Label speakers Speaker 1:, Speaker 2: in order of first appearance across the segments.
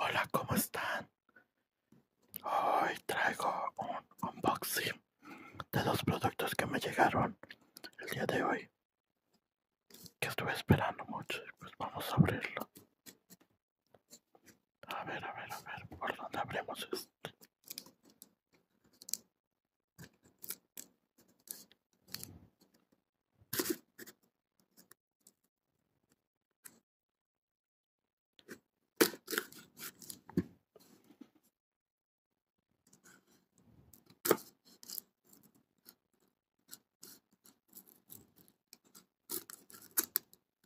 Speaker 1: Hola, ¿cómo están? Hoy traigo un unboxing de dos productos que me llegaron el día de hoy. Que estuve esperando mucho y pues vamos a abrirlo. A ver, a ver, a ver, ¿por dónde abrimos esto?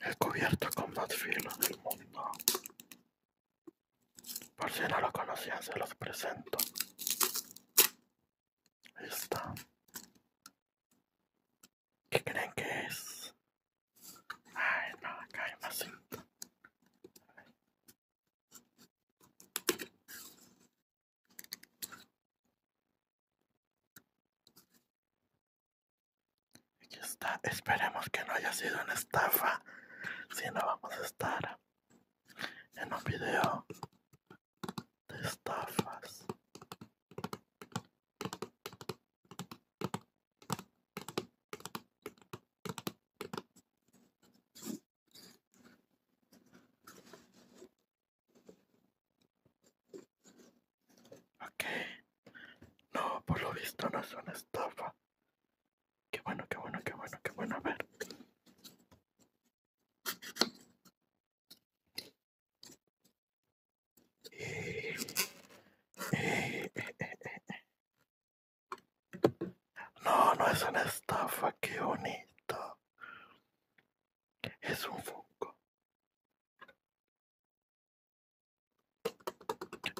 Speaker 1: El cubierto con más filos del mundo. Por si no lo conocían, se los presento. Ahí está. ¿Qué creen que es? Ay, no, acá hay más Aquí está. Esperemos que no haya sido una estafa. Si no, vamos a estar en un video de estafas. Okay, no, por lo visto no es una estafa. Qué bueno, qué bueno, qué bueno, qué bueno. A ver. No, no es una estafa, qué bonito. Es un foco.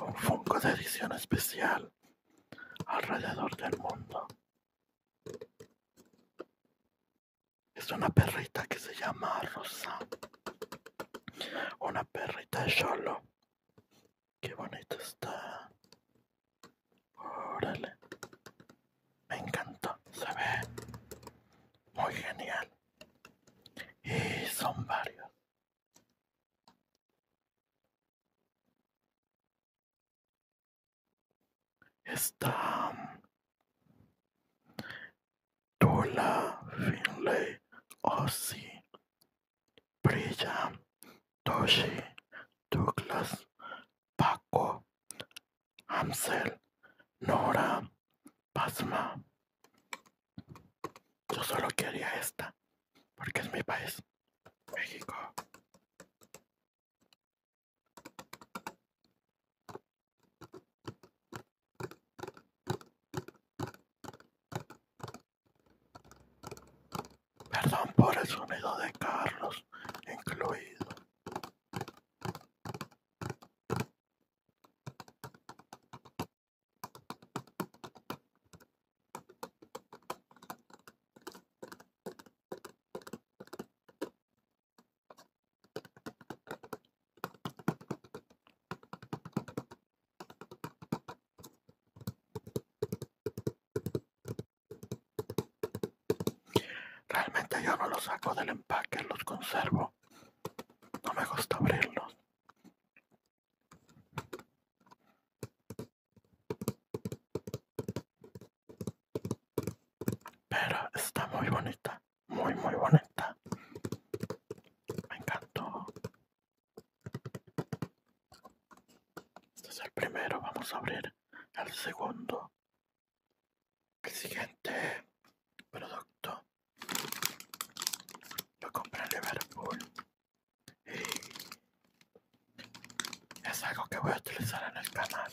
Speaker 1: Un Funko de edición especial alrededor del mundo. Es una perrita que se llama Rosa. Una perrita solo. Qué bonita está. Órale. Me encantó. Se ve muy genial. Y son varios. Stan Dola Finlay Ossie Brigham Toshi Douglas Paco Hamsel Nora pasma. Yo solo quería esta, porque es mi país, México. Perdón por el sonido de Carlos incluido. Realmente yo no los saco del empaque, los conservo. No me gusta abrirlos. Pero está muy bonita, muy muy bonita. Me encantó. Este es el primero, vamos a abrir el segundo. El siguiente producto lo compré en Liverpool y es algo que voy a utilizar en el canal.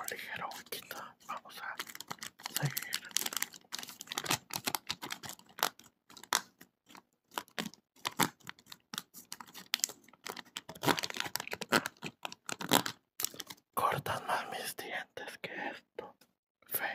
Speaker 1: un ligero Vamos a seguir. Cortan más mis dientes que esto. fe.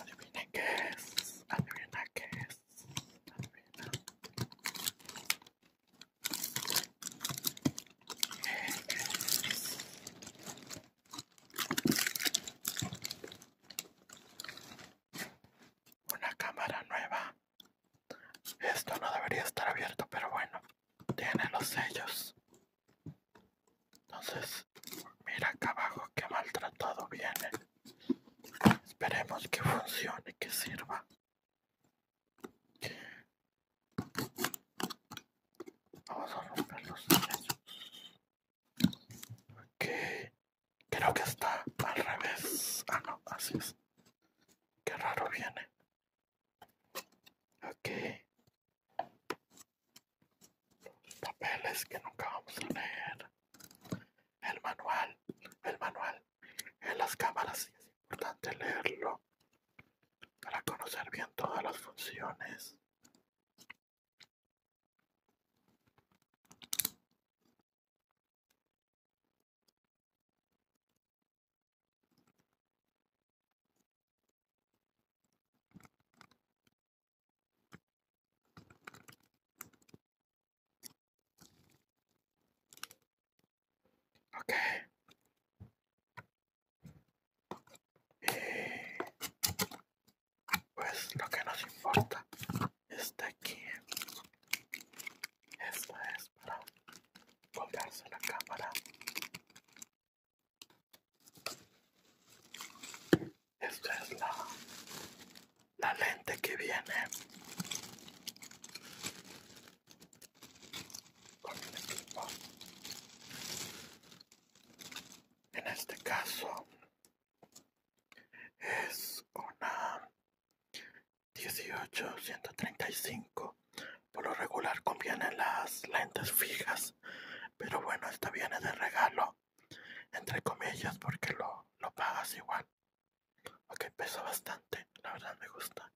Speaker 1: Adivina qué es. Adivina qué es. Adivina. es? Una cámara nueva. Esto no debería estar abierto, pero bueno, tiene los sellos. Entonces, mira acá abajo que maltratado viene. Esperemos que funcione, que sirva. Vamos a romper los Ok. Creo que está al revés. Ah, no, así es. Qué raro viene. Ok papeles que nunca vamos a leer, el manual, el manual en las cámaras es importante leerlo para conocer bien todas las funciones. Ok. Y pues lo que nos importa está aquí. Esta es para colgarse la cámara esta es la, lente que viene con el equipo. En este caso es una 18135. Por lo regular convienen las lentes fijas, pero bueno, esta viene de regalo entre comillas, porque lo, pagas igual. Ok, pesa bastante, la verdad me gusta.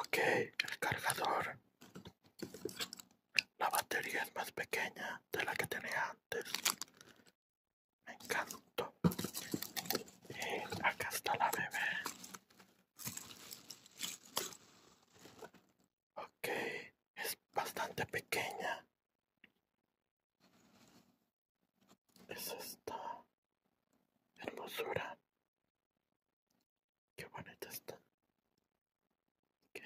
Speaker 1: Ok, el cargador. La batería es más pequeña de la que tenía antes. Me encanto Y acá está la bebé. Ok, es bastante pequeña. Es esta hermosura. Qué bonita está. Y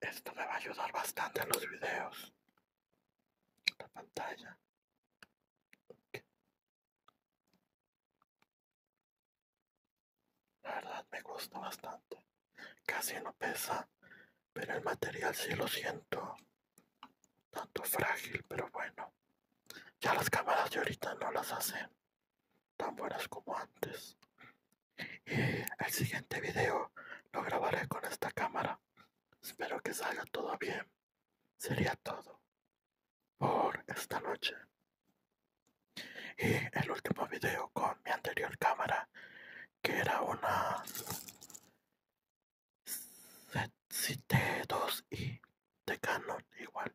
Speaker 1: esto me va a ayudar bastante en los videos. La pantalla. La verdad me gusta bastante. Casi no pesa, pero el material sí lo siento. Tanto frágil, pero bueno. Ya las cámaras de ahorita no las hacen tan buenas como antes. Y el siguiente video lo grabaré con esta cámara. Espero que salga todo bien sería todo por esta noche. Y el último video con mi anterior cámara, que era una Z2i de Canon igual.